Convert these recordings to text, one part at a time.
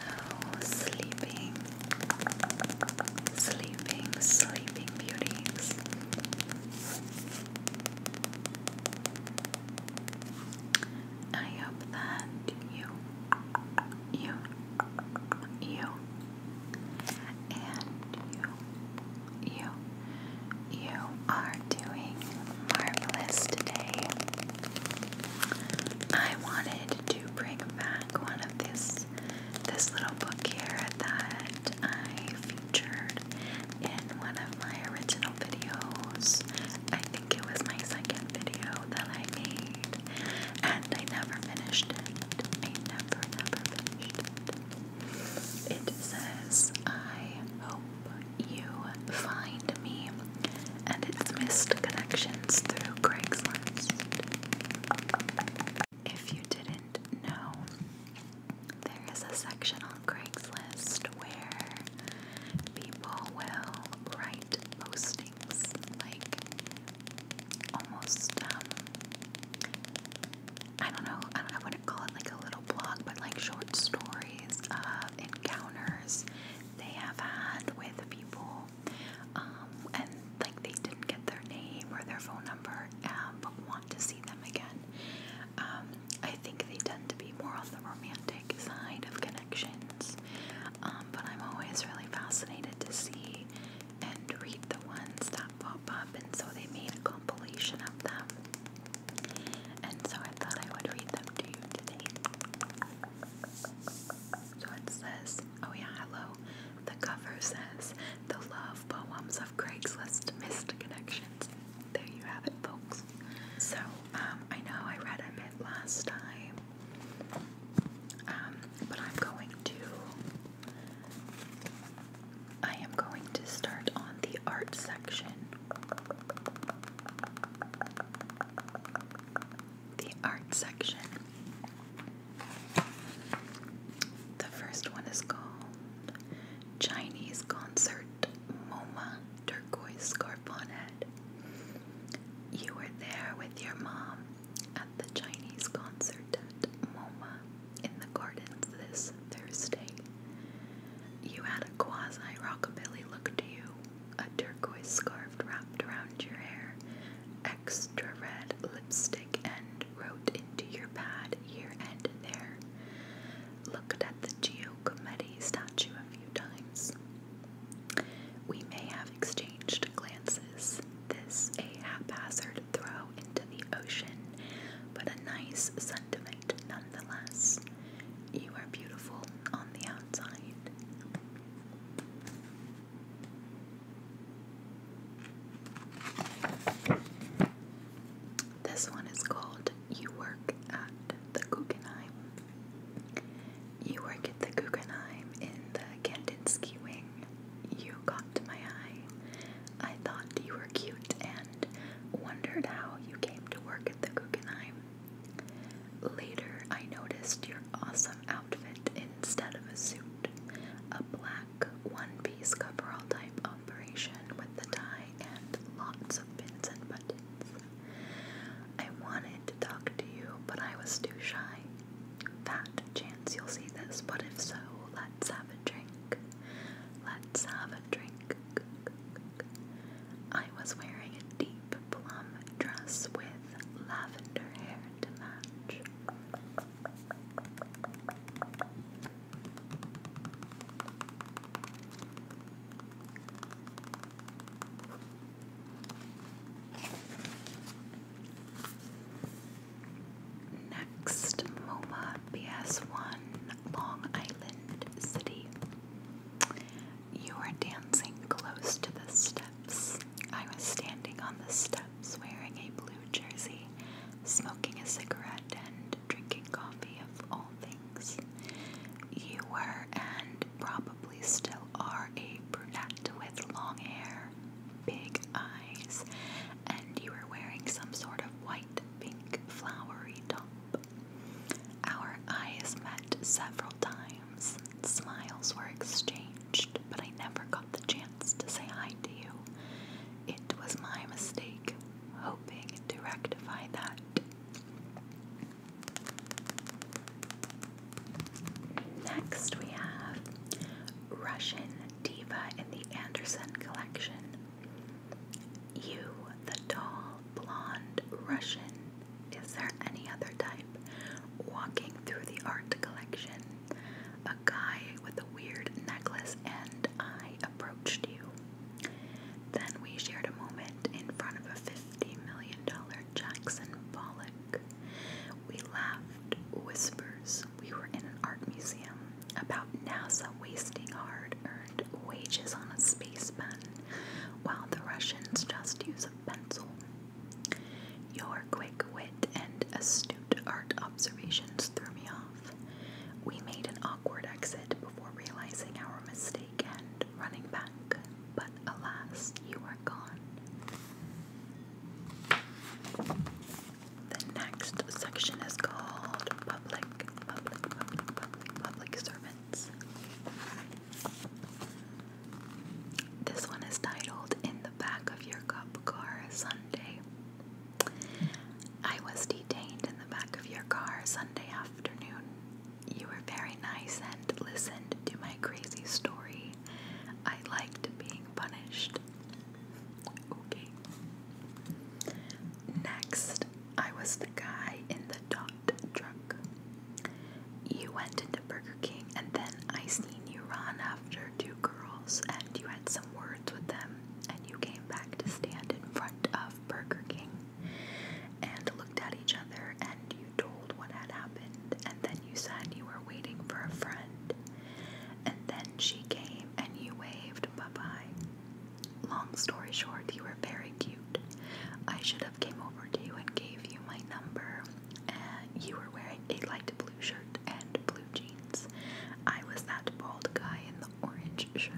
Oh, sleeping, sleeping, sleeping beauties. I hope that you, you, you and you, you, you are doing marvelous today. I wanted to bring back one of this this little book here that I featured in one of my original videos. I think it was my second video that I made and I never finished it. I never, never finished it. says, I hope you find me, and it's missed connections through Craigslist. If you didn't know, there is a section on Craigslist where people will write postings like almost um, I don't know, I, wouldn't call it like a little blog, but like short stories of uh, encounters they have had with people. Um, and like they didn't get their name or their phone number, um, but want to see them again. Um, I think they tend to be more on the romantic side of connections, but I'm always really fascinated to see and read the ones that pop up, and so they made a compilation of them. And so I thought I would read them to you today. So it says, oh yeah, hello. The cover says, The Love Poems of Craigslist Missed Connections. There you have it, folks. So, um, I know I read a bit last time, um, but I'm going to I am going to start on the art section. The art section. The first one is called Chinese Concert MoMA Turquoise Scarf on Head. You were there with your mom at the Chinese concert at MoMA in the gardens this Thursday. You had a quasi rockabilly look to you, a turquoise scarf wrapped around your hair, extra red lipstick, and wrote into your pad here and there. Looked at the Giacometti statue a few times. We may have exchanged glances, this a haphazard throw into the ocean, but a nice sentiment nonetheless. You are beautiful on the outside. This one is called You Work at the Guggenheim. You work at the Guggenheim in the Kandinsky wing you caught my eye. I thought you were cute and wondered how you came to work at the Guggenheim. Later, I noticed your awesome outfit instead of a suit a black one piece cover-all type operation with the tie and lots of pins and buttons. I wanted to talk to you, but I was too shy that chance you'll see this, but if so, let's have a drink. Let's have a drink. I was wearing a deep plum dress with lavender hair to match. Next, MoMA BS1 Long Island City. You were dancing close to the steps. I was standing on the steps wearing a blue jersey, smoking a cigarette, and drinking coffee of all things. You were and probably still are a brunette with long hair, big eyes, and you were wearing some sort of white pink flowery top. Our eyes met several times, smiles were exchanged, but I never got the chance to say hi to you. It was my mistake, hoping to rectify that. Next, we have Russian Diva in the Anderson Collection. You, the tall, blonde Russian, is there any other type? Walking through the art collection, a guy with a weird necklace and I approached you. Then we shared a moment in front of a $50 million Jackson Pollock we laughed whispers. We were in an art museum about NASA wasting hard earned wages on a space pen while the Russians just use a pencil. Your quick wit and astute art observations threw me off. We made an awkward exit before realizing our mistake and running back, but alas, you are gone. The next section is called public, public, public, public, public servants. This one is titled In the Back of Your Car Sunday. I was detained in the back of your car Sunday afternoon. You were very nice and listened to my crazy story I liked being punished. Okay. Next, I was the guy in the dot truck. You went into Burger King and then I seen you run after two girls and you had some words with them and you came back to stand in front of Burger King and looked at each other and you told what had happened and then you said you were waiting for a friend, and then she came and you waved bye bye. Long story short, you were very cute. I should have came over to you and gave you my number. And you were wearing a light blue shirt and blue jeans. I was that bald guy in the orange shirt.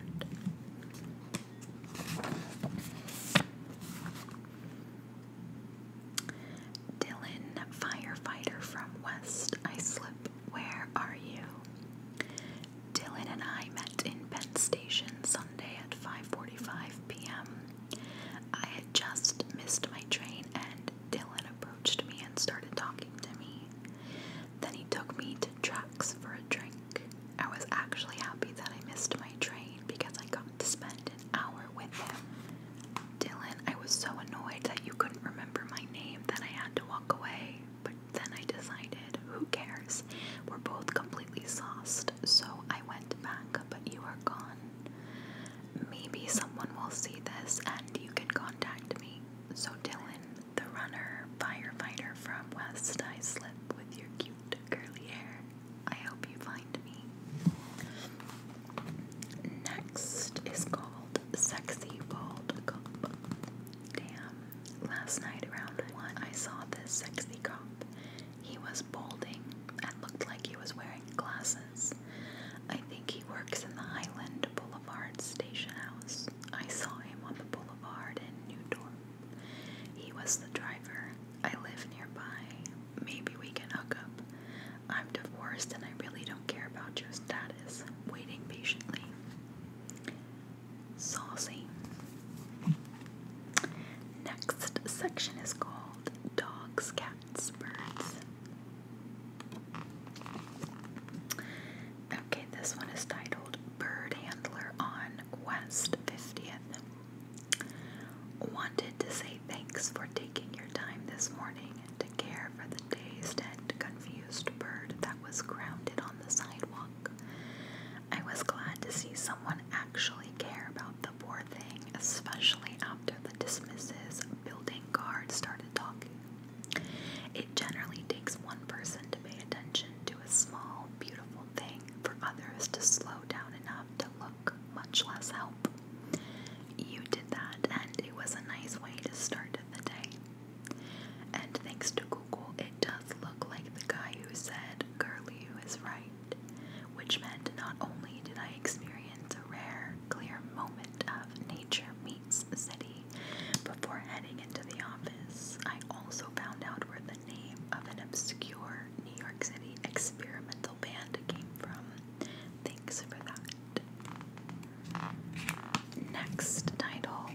Dylan, firefighter from West Islip, where are you? Dylan and I met in Penn Station Sunday at 5:45 p.m. I had just missed my train and Dylan approached me and started talking to me. Then he took me to Tracks for a drink. I was actually happy that I missed my train because I got to spend an hour Dylan, I was so annoyed that you couldn't remember my name that I had to walk away, but then I decided, who cares? We're both completely sauced, so I went back, but you are gone. Maybe someone will see this and you can contact me. So, Dylan, the runner firefighter from West, I slip with your cute curly hair. I hope you find me. Next is called Sexy Bald Cop. Damn. Last night around 1, I saw this sexy cop. He was balding and looked like he was wearing glasses. I think he works in the Highland Boulevard Station House. I saw him on the boulevard in New Dorp. He was the driver. I live nearby. Maybe we can hook up. I'm divorced and I really don't care about your status. Waiting patiently. Saucy. Next section is called Dogs, Cats, Birds. Okay, this one is titled Bird Handler on West 50th. Wanted to say thanks for taking your time this morning to care for the dazed and confused bird that was grounded on the sidewalk. I was glad to see someone actually care about the poor thing, especially after the dismisses building guard started talking. It generally takes one person to pay attention to a small, beautiful thing for others to slow down enough to look, much less help. You did that, and it was a nice way to start the day. And thanks to Google, it does look like the guy who said Curlew is right, which meant not only did I experience a rare, clear moment of nature meets city before heading into the office, I also found out where the name of an obscure New York City experimental band came from. Thanks for that. Next title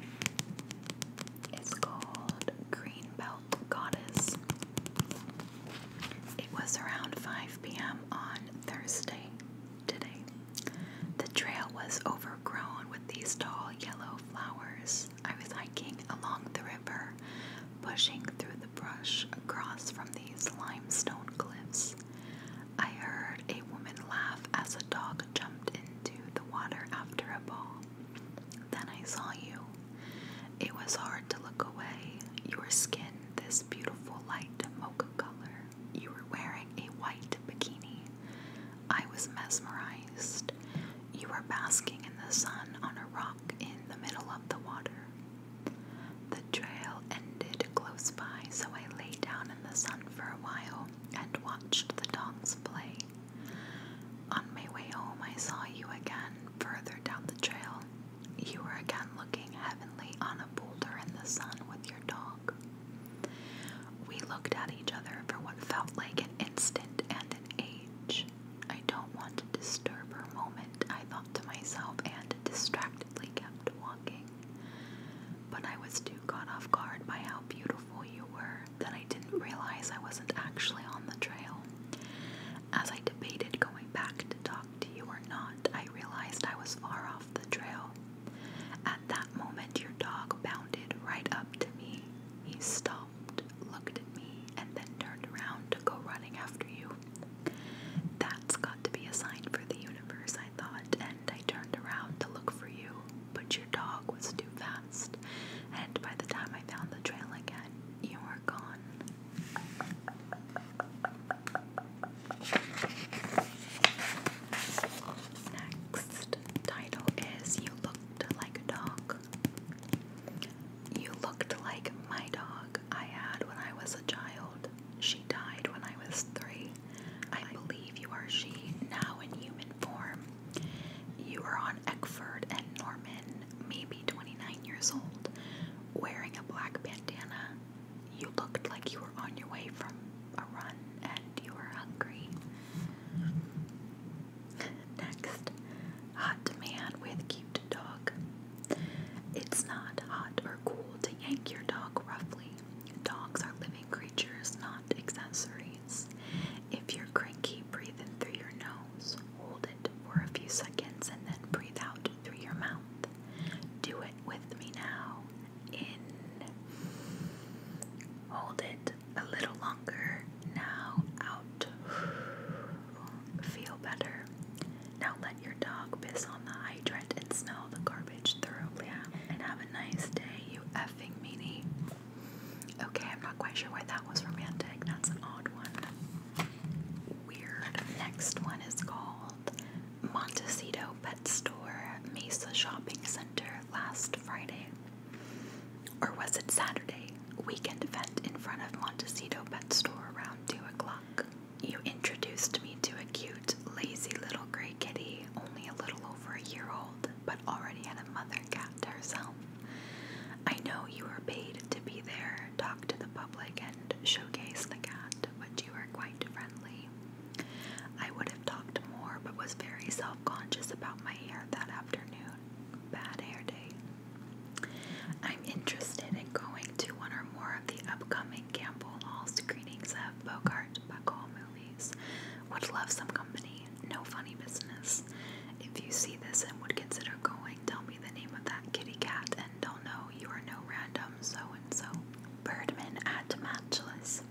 is called Greenbelt Goddess. It was around 5 p.m. on Thursday today. The trail was overgrown with these tall yellow flowers. I was hiking along the river, pushing through the brush across from these limestone cliffs. I heard a woman laugh as a dog jumped into the water after a ball. Then I saw you. It was hard to look away. Your skin, this beautiful light mocha color. You were wearing a white bikini. I was mesmerized. You were basking in the sun on a rock in the middle of the water. The trail ended close by, so I lay down in the sun for a while and watched the dogs play. On my way home, I saw you again further down the trail. You were again looking heavenly on a boulder in the sun with your dog. We looked at each other for what felt like an instant and an age. I don't want to disturb her moment, I thought to myself, and distract reluctantly kept walking. But I was too caught off guard by how beautiful you were that I didn't realize I wasn't actually on the trail. As I debated going back to talk to you or not, I realized I was far off the trail. At that moment, your dog bounded right up to me. He stopped, looked at me, and then turned around to go running after you. That's got to be a sign for the universe, I thought, and I turned around to look for you, but your dog was too fast, and by the time I found the trail again, you were gone. Next title is You Looked Like a Dog. You looked like my dog I had when I was a child. She died when I was three. I believe you are she, now in human form. You are on Eckford and Norman, maybe 29 years old, wearing a black bandana. You looked like you were on your way from a run and you were hungry. Next, hot man with cute dog. It's not hot or cool to yank your dog roughly. Dogs are living creatures, not accessories. If you're cranky, breathe in through your nose. Hold it for a few seconds and then breathe out through your mouth. Do it with me now. In. Hold it a little longer. Now out. Feel better. Now let your dog piss on the hydrant and smell the garbage thoroughly. And have a nice day, you effing meanie. Okay, I'm not quite sure why that was romantic. That's an odd one. Weird. Next one is called Montecito Pet Store, Mesa Shopping Center last Friday. Or was it Saturday? Weekend event in front of Montecito Pet Store around 2 o'clock. You introduced me to a cute, lazy little gray kitty, only a little over a year old, but already had a mother cat to herself. I know you were paid to be there, talk to the public, and showcase the cat, but you were quite friendly. I would have talked more, but was very self conscious about my hair that afternoon. Bad hair day. I'm interested in going to one or more of the upcoming Naomi Campbell Hall screenings of Bogart Buckle movies. Would love some company. No funny business. If you see this and would consider going, tell me the name of that kitty cat and they'll know you are no random so and so. Birdman at Matchless.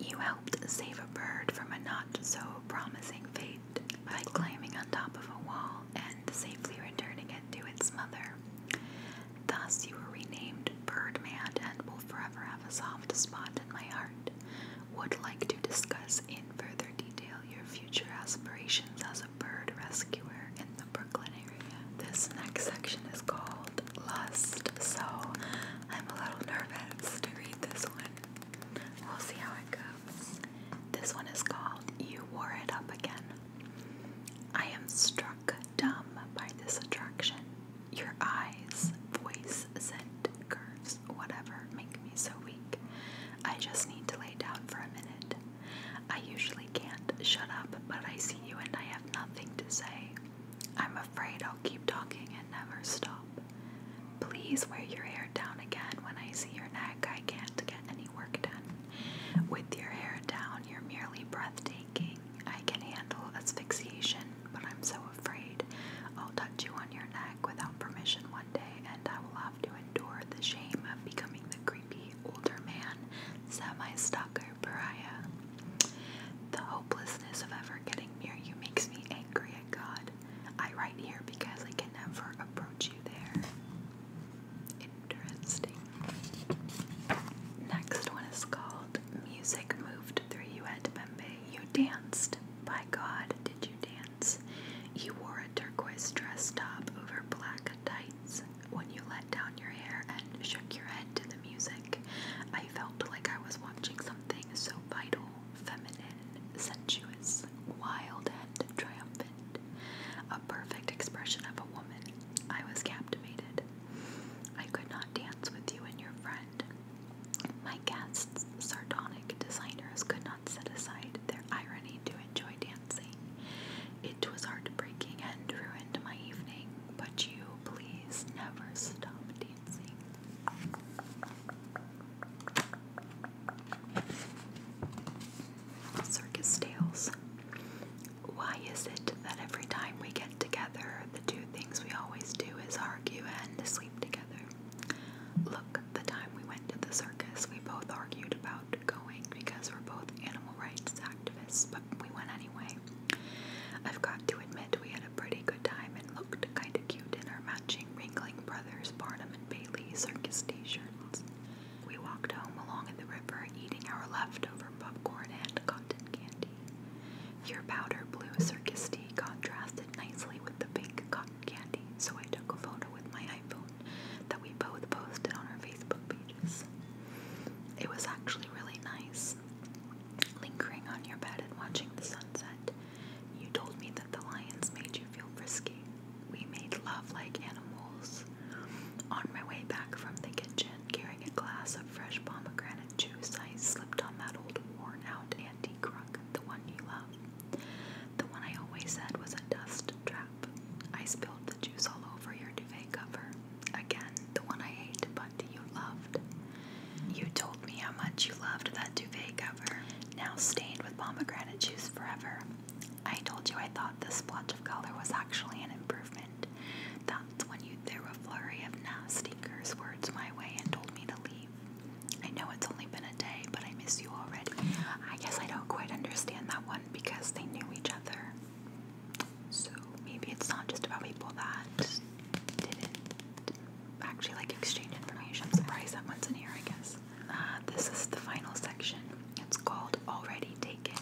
You helped save a bird from a not so promising fate by climbing on top of a wall and safely returning it to its mother. Thus, you were renamed Birdman and will forever have a soft spot in my heart. Would like to discuss in further detail your future aspirations as a bird rescuer in the Brooklyn area. This next section is called Lust, so I'm a little nervous to read this one. We'll see how it goes. This one is called You Wore It Up Again. I am struck dumb by this attraction. Your eyes, voice, scent, curves, whatever make me so weak. I just need to lay down for a minute. I usually can't shut up, but I see you and I have nothing to say. I'm afraid I'll keep talking and never stop. Please wear your hair down again. When I see your neck, I can't get any work done. With your hair down, you're merely breathtaking. I can handle asphyxiation, but I'm so afraid I'll touch you on your neck without permission one day, and I will have to endure the shame of becoming the creepy older man, semi stalker pariah. The hopelessness of ever getting near you makes me angry at God. I write here because I can never approach you there. Interesting. Next one is called Music Moved Through You at Bombay. You danced. By God, did you dance? You wore a turquoise dress top over black tights. When you let down your hair and shook your head to the music, I felt like I was watching something so vital, feminine, sensuous, wild, and triumphant. A perfect expression of a woman. I was captivated. I could not dance with you and your friend. My guests, sardonic designers, could not set aside their irony to enjoy dancing. It was heartbreaking and ruined my evening, but you please never stop dancing. Circus Tales. Why is it that every time we get together, the two things we always do is argue and sleep together? Look, the time we went to the circus, we both argued about going because we're both animal rights activists, but we went anyway. I've got to admit, we had a pretty good time and looked kinda cute in our matching Ringling Brothers, Barnum and Bailey circus t shirts. We walked home along the river eating our leftover popcorn and cotton candy. Your powder blue circus tea contrasted nicely with the pink cotton candy, so I took a photo with my iPhone that we both posted on our Facebook pages. It was actually really nice. Lingering on your bed and watching the sunset, you told me that the lions made you feel frisky. We made love like animals. On my way back from the kitchen, carrying a glass of fresh pomegranate juice, I slipped on that old worn out antique rug, the one you love. The one I always said was a dust trap. I spilled the juice all over your duvet cover. Again, the one I hate, but you loved. You told me how much you loved that duvet cover, now stained with pomegranate juice forever. I told you I thought this splotch of color was actually an improvement that's when you threw a flurry of nasty curse words my way and told me to leave. I know it's only been a day, but I miss you already. I guess I don't quite understand that one because they knew each other. So maybe it's not just about people that didn't actually like exchange information. I'm surprised that one's in here, I guess. Uh, this is the final section. It's called Already Taken.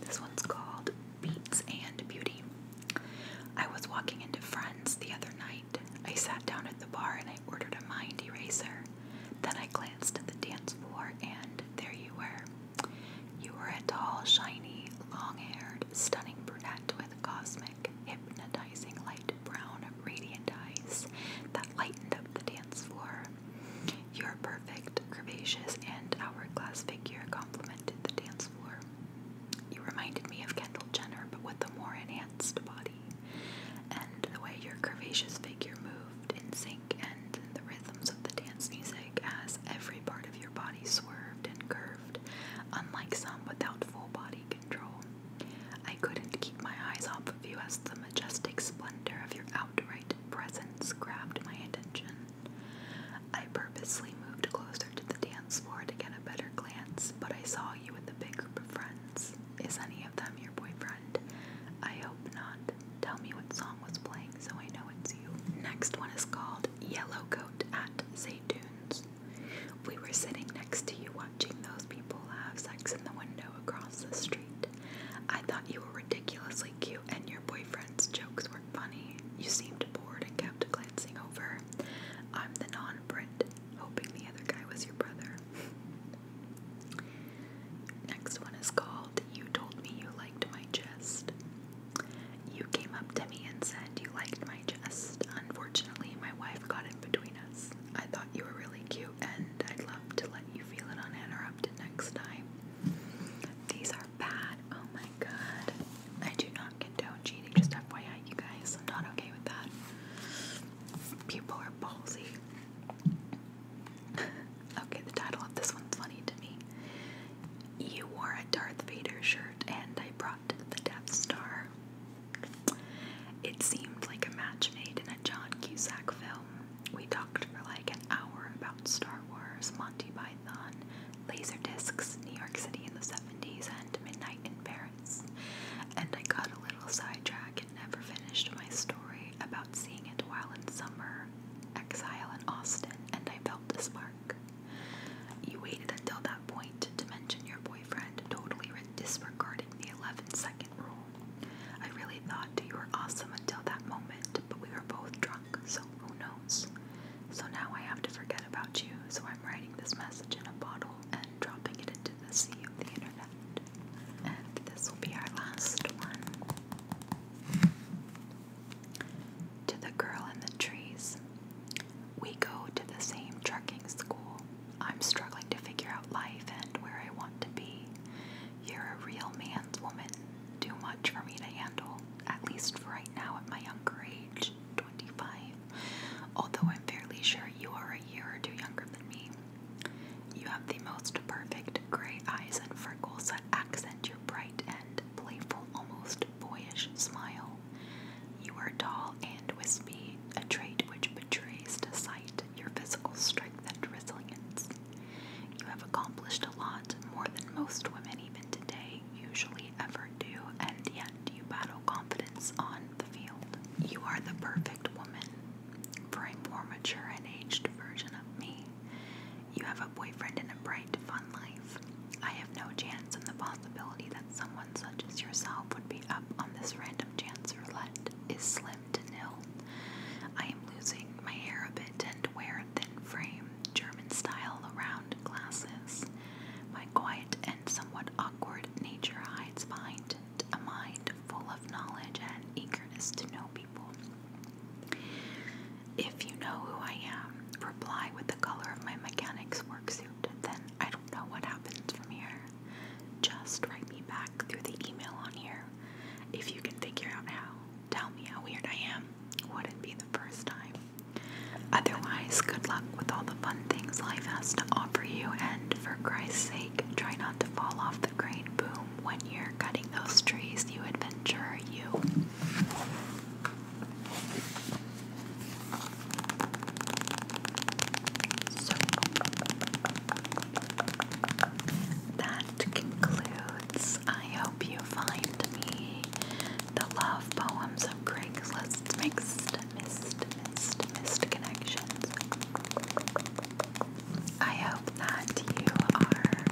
This one's called Beats and Beauty. I was walking into Friends the other night. I sat down at the bar and I ordered a mind eraser. Then I glanced at the dance floor and there you were. You were a tall, shiny, long haired, stunning brunette with cosmic, hypnotizing light brown, radiant eyes that lightened up the dance floor. Your perfect, curvaceous, and hourglass figure complemented the dance floor. You reminded me of Kendall Jenner, but with a more enhanced body. And the way your curvaceous figure moved in sync and the rhythms of the dance music as every part of your body swerved and curved, unlike some without full body control. I couldn't keep my eyes off of you as the majestic splendor of your outright presence grabbed my attention. I purposely moved closer to the dance floor to get a better glance, but I saw you with a big group of friends. Is any of them your boyfriend? I hope not. Tell me what song was playing so I know it's you. Next one is called Yellow Coat at Dunes. We were sitting next to you watching those people have sex in the window across the street. I thought you were ridiculously cute and your boyfriend's jokes were funny. You seemed bored and kept glancing over. I'm the non Brit, hoping the other guy was your brother. Next one is called You Told Me You Liked My Chest. You came up to me and said you liked my chest. Unfortunately, my wife got in between us. I thought you were really cute and I'd love to let you feel it uninterrupted next time. These are bad. Oh my god. I do not condone cheating, just FYI, you guys. not okay with that. People are ballsy. okay, the title of this one's funny to me. You wore a Darth Vader shirt and I brought the Death Star. It seemed like a match made in a John Cusack film we talked for like an hour about Star Wars, Monty Python, laser discs, New York City in the 70s, and Midnight in Paris. And I got a little sidetracked and never finished my story about seeing it while in summer, exile in Austin, and I felt the spark. You waited until that point to mention your boyfriend, totally disregarding the 11 second rule. I really thought you were awesome until that moment, but we were both drunk, so who knows? So now I have to forget about you, so I'm writing this message in a bottle and dropping it into the sea of the internet. And this will be our last one. To the girl in the trees. We go to the same trucking school. I'm struggling to figure out life and where I want to be. You're a real man's woman, too much for me to handle, at least right now at my younger age, 25, although I'm fairly sure you are a year or two younger than me. You have the most perfect gray eyes and freckles that accent your bright and playful, almost boyish smile. You are tall and wispy, a trait which betrays to sight your physical strength and resilience. You have accomplished a lot, more than most women even today usually ever do, and yet you battle confidence on the field. You are the perfect woman for a more mature and aged version of me. You have a boyfriend and a bright, fun life. I have no chance in the possibility that someone such as yourself would be up on this random chance roulette is slim to nil. I am losing my hair a bit and wear a thin frame. German style round glasses. My quiet and somewhat awkward nature hides behind it a mind full of knowledge and eagerness to know people. If you know who I am, reply with the color of my mechanic's work suit, then I don't know what happens from here. Just write me back through the email on here if you can figure out how tell me how weird I am wouldn't be the first time. Otherwise, good luck with all the fun things life has to offer you, and for Christ's sake, try not to fall off the crane boom when you're cutting those trees, you adventurer, you. that that concludes. I hope you find me the love poems of Craigslist mixed, missed, missed, missed connections. I hope that you are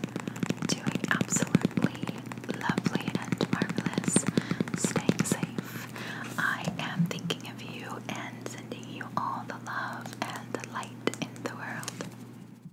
doing absolutely lovely and marvelous, staying safe. I am thinking of you and sending you all the love and the light in the world.